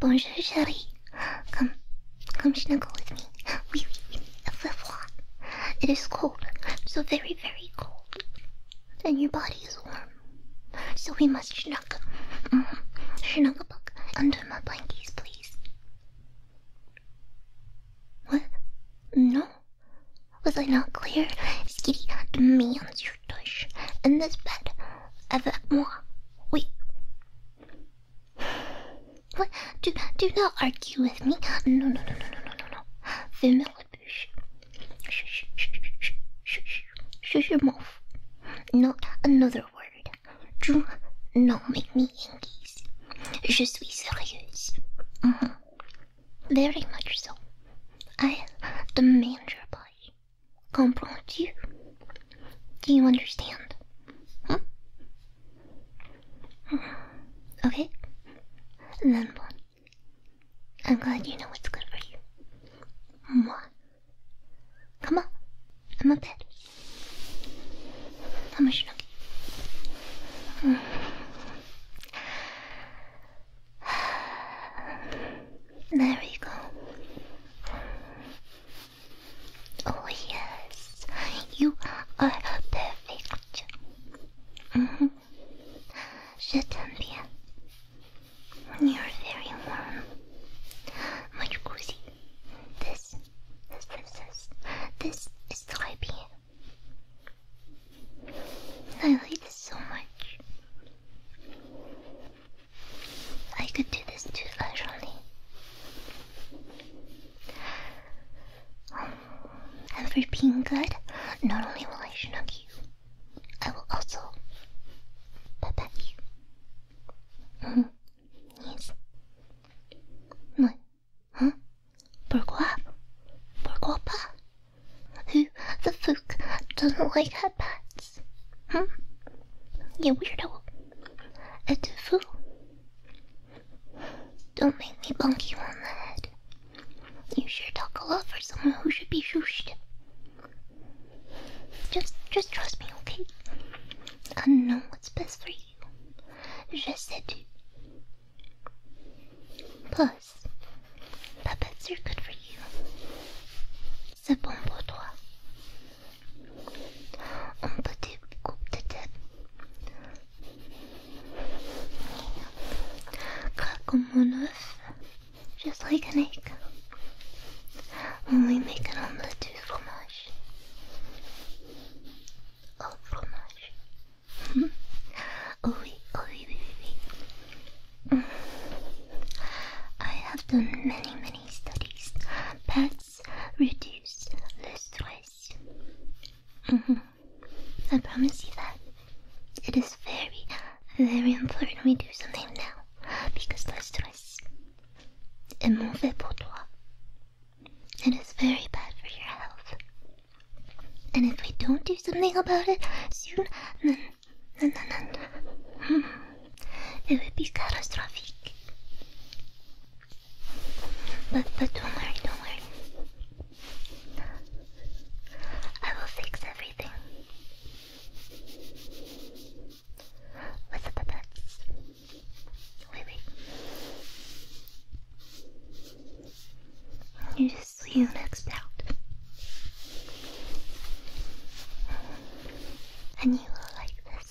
Bonjour, Shari. Come, come snuggle with me. Oui, oui, It is cold, so very, very cold. And your body is warm. So we must snuggle. Mm-hmm. Snuggle book under my blankets, please. What? No? Was I not clear? Skitty demands your tush. in this bed avec moi. Oui. What? Do, do not argue with me. No, no, no, no, no, no, no, no. Fermez la bouche. Shush, shush, shush, shush, shush your mouth. Not another word. Do not make me engage. Je suis sérieuse. Mm -hmm. Very much so. I demand your body. Comprends-tu? Do you understand? Huh? Okay. And then what? I'm glad you know what's good for you. Moi. Come on. I'm a pet. I'm a schnookie. There we go. Oh, yes, you are perfect. Mm -hmm. Je t'aime bien. You're very warm. My jacuzzi. This, this, this, this, is the IBM. I like this so much. I could do this too actually. Um, and for being good, not only will I snug you, I will also pet you. Mm-hmm. Yes. What? Huh? Pourquoi? Pourquoi Who the fuck doesn't like her pets? sense. Huh? You weirdo. A fool. Don't make me bonk you on the head. You sure talk a lot for someone who should be shooshed. Just, just trust me, okay? I know what's best for you. Je sais tout. Plus, puppets are good for you. c'est bon pour toi. Un petit coup de tête. Craque mon oeuf. just like an egg. When we make an omelette with fromage. Oh, fromage. Mhm. oh oui, oh oui, oui, oui, oui. I have done many, many studies, pets reduce the stress. Mm-hmm. I promise you that. It is very, very important we do something now because the stress est mauvais pour toi. It is very bad for your health. And if we don't do something about it soon, then, then, then, then. Hmm it would be catastrophic. But but don't worry, don't worry. I will fix everything. What's up, puppets? Wait, You just see next out. And you will like this.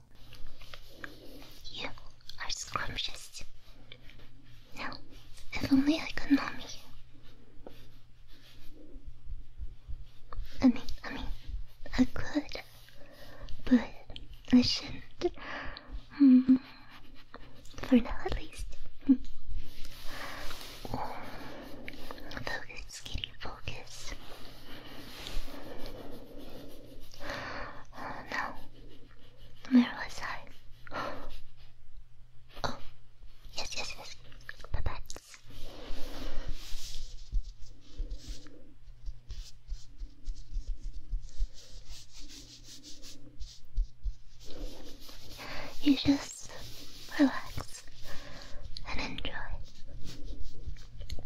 You are scrumptious. Now, if only I could mommy you. I mean, I mean, I could, but I shouldn't. Hmm. For now, at least. oh. Focus, kitty, focus. Uh, now, where was I? Oh, yes, yes, yes. Bye You just relax and enjoy. The don't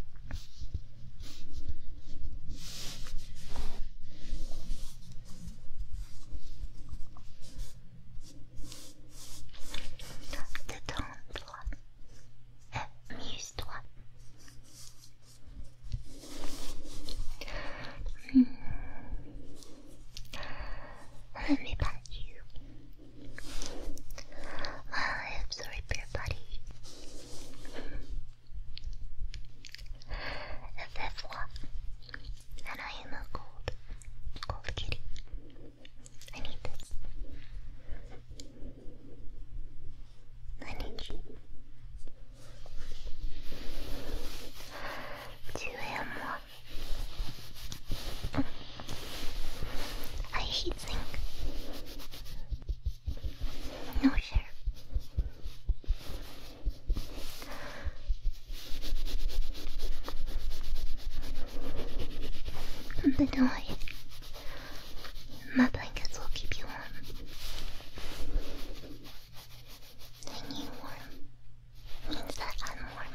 one, the amused one. Let me pat you while I absorb your body. And this one. And I am a gold, gold kitty. I need this. I need you. Two AM one. I heat no hair. But don't worry, my blankets will keep you warm. When you warm means that I'm warm.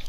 Yeah.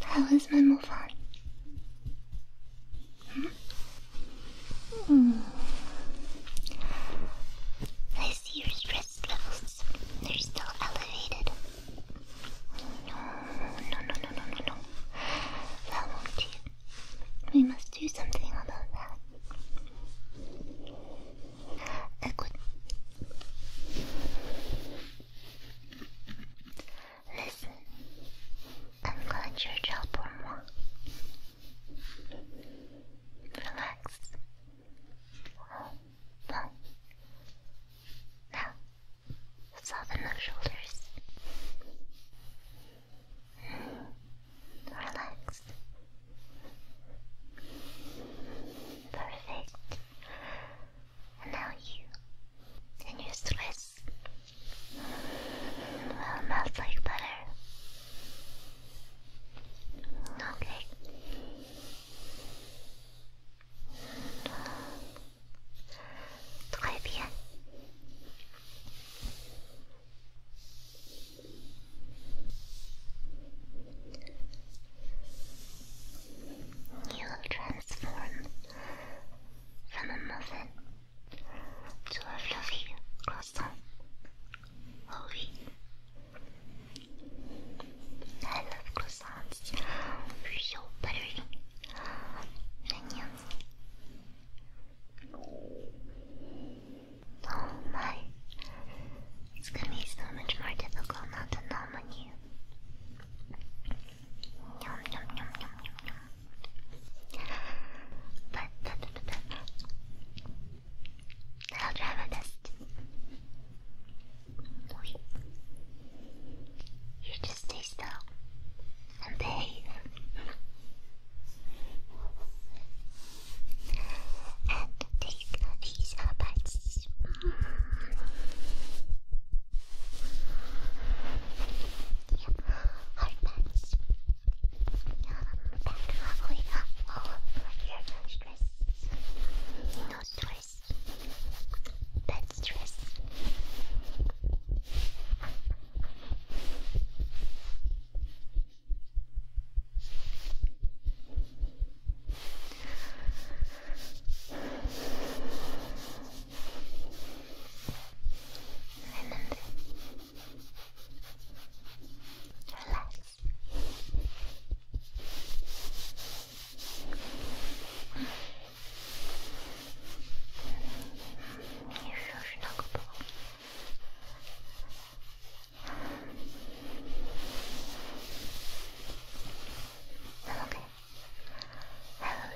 How is my move on? Hmm? I see your stress they're still elevated. No, no, no, no, no, no, no. That won't We must do something about that. I could. Listen, I'm gonna do your more. Relax. Bon. Now, soften the shoulders. Relax. Perfect. And now you and your stress will melt like butter. Okay. 快点！你要 transform from a to a fluffy croissant. Ovi, I love croissants. So buttery. Minions. Oh my. It's gonna be so much more difficult not to numb you. Yum, yum, yum, yum, yum, yum. But, but, but, but. I'll try my best. Wait. You just stay still and behave. and take these bites. Mm. Yep, hard bites. Back halfway up all of your stress. No stress stress. That stress. Remember, relax. 你说是哪个包？Okay, hello,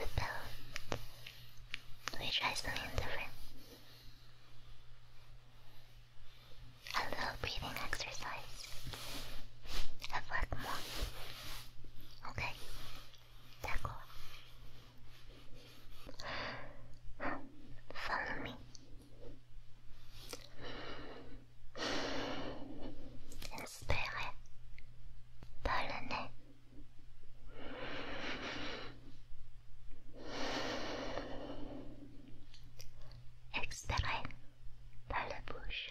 spell. try something different. A little breathing exercise. Avec moi. Ok. D'accord. Follow moi Inspirez par le nez. Expirez par la bouche.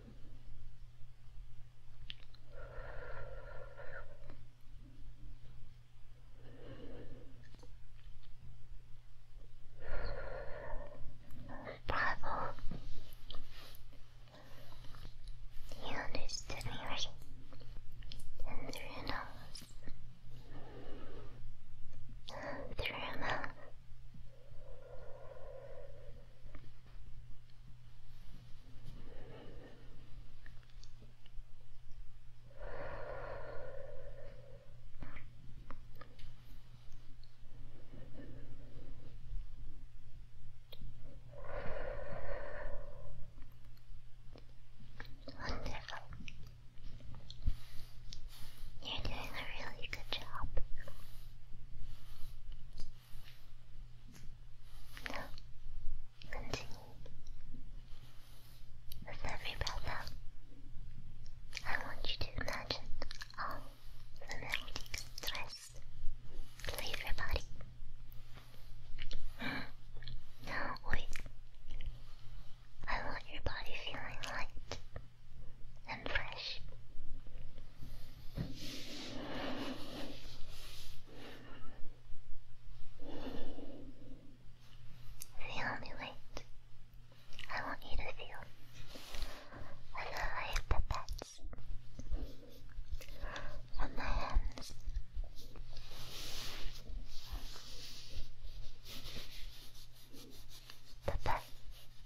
Bravo. You understood me right. through your nose. Through your mouth. Wonderful. You're doing a really good job. No, continue. With every breath I want you to imagine all the melodic threads leave your body. Now, wait. I want your body feeling light and fresh. The only weight I want you to feel are the light pipettes from my hands. Pipette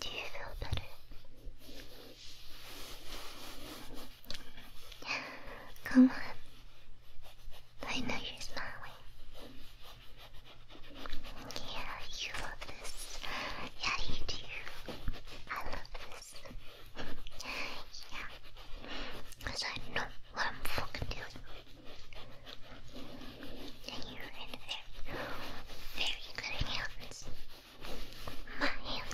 Do you feel better? Come on. I know you're smiling. Yeah, you love this. Yeah, you do. I love this. Because I know what I'm fucking doing. you're in very, very good hands. My hands.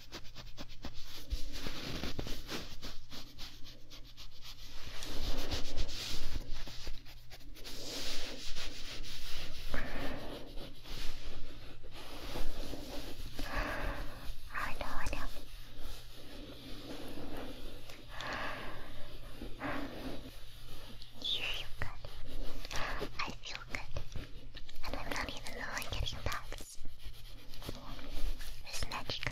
I don't know. You feel good. I feel good. And I'm not even knowing getting back. Веснячка.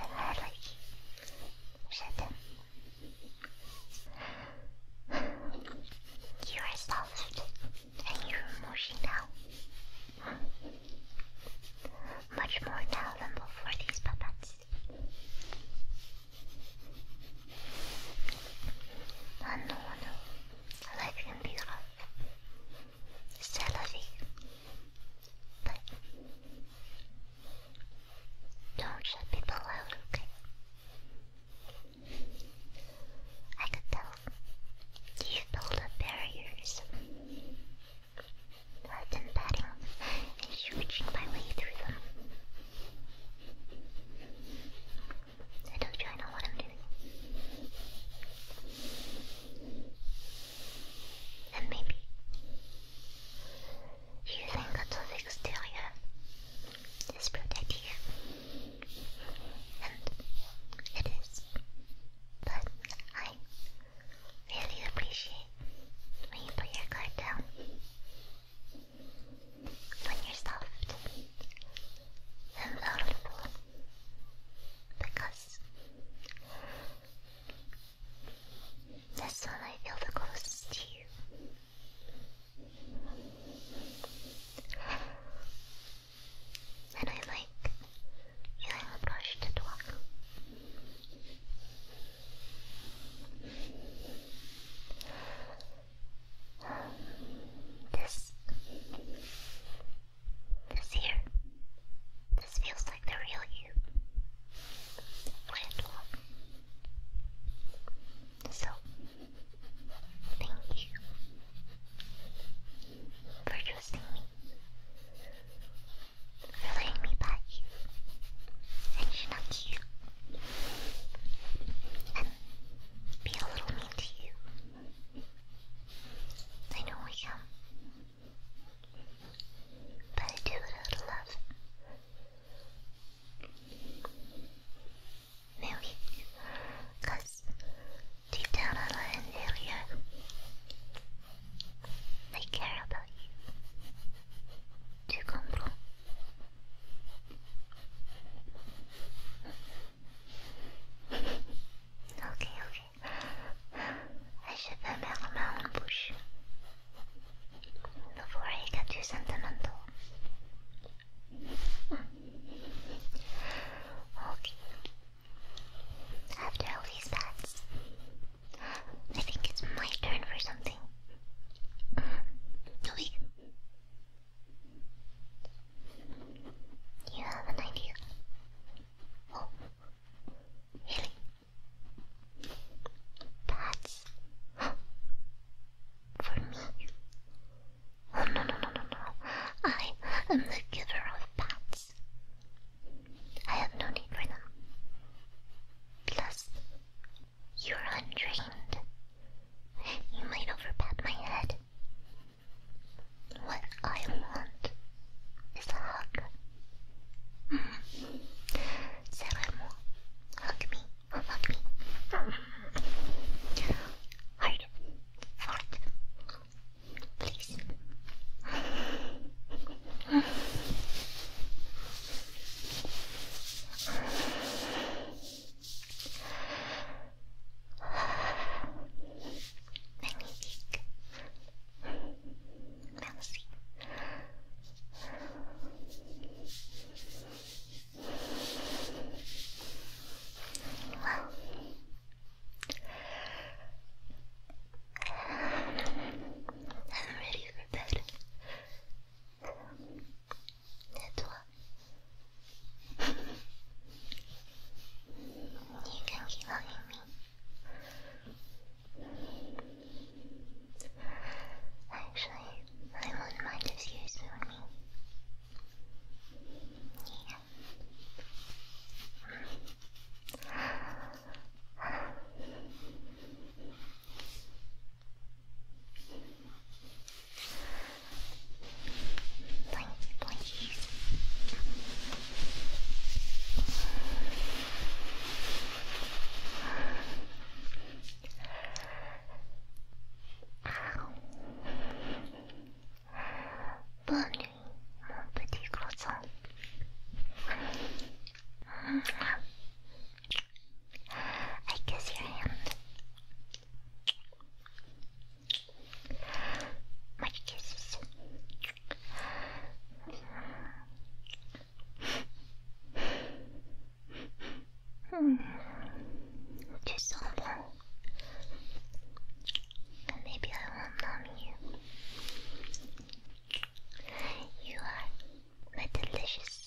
Эльмарой. Что You are soft and you're emotional. Much more now than before these puppets. I know. I like him a lot. It's jealousy. But don't shut people out, okay? I could tell. You build up barriers. I've been batting and shooting my way through them. I don't know what I'm doing. And maybe you think that exterior is protected And it is. But I really appreciate when you put your guard down. When you're soft and vulnerable, because that's when I feel the closest to you. And I like feeling the brush to talk. This. This here. This feels like the real you. so, thank you for trusting me, for letting me pet and schnuck you and a little I know I am. But I do it out of love. Really? deep down I lie in really care about you. Do you comprehend? Okay, okay. I should remember my own bush before I get too sentimental. Okay. After all these bats, I think it's my turn for something. Wait, you have an idea? Oh, really? That's for me. Oh no no no no no! I am the giver of bats. I have no need for them. Plus, you're untrained. You might overbat my head. What I want is a hug. Mm. hug me, hug me. Hard, fart, please. Let me think. I'm ready for bed. 太多。you can keep me. Actually, I wouldn't mind if you me. Yeah. Please. Bonne nuit, mon petit croissant. I kiss your hand. My kisses. Hmm. Tu sens bon. Maybe I won't numb you. You are my delicious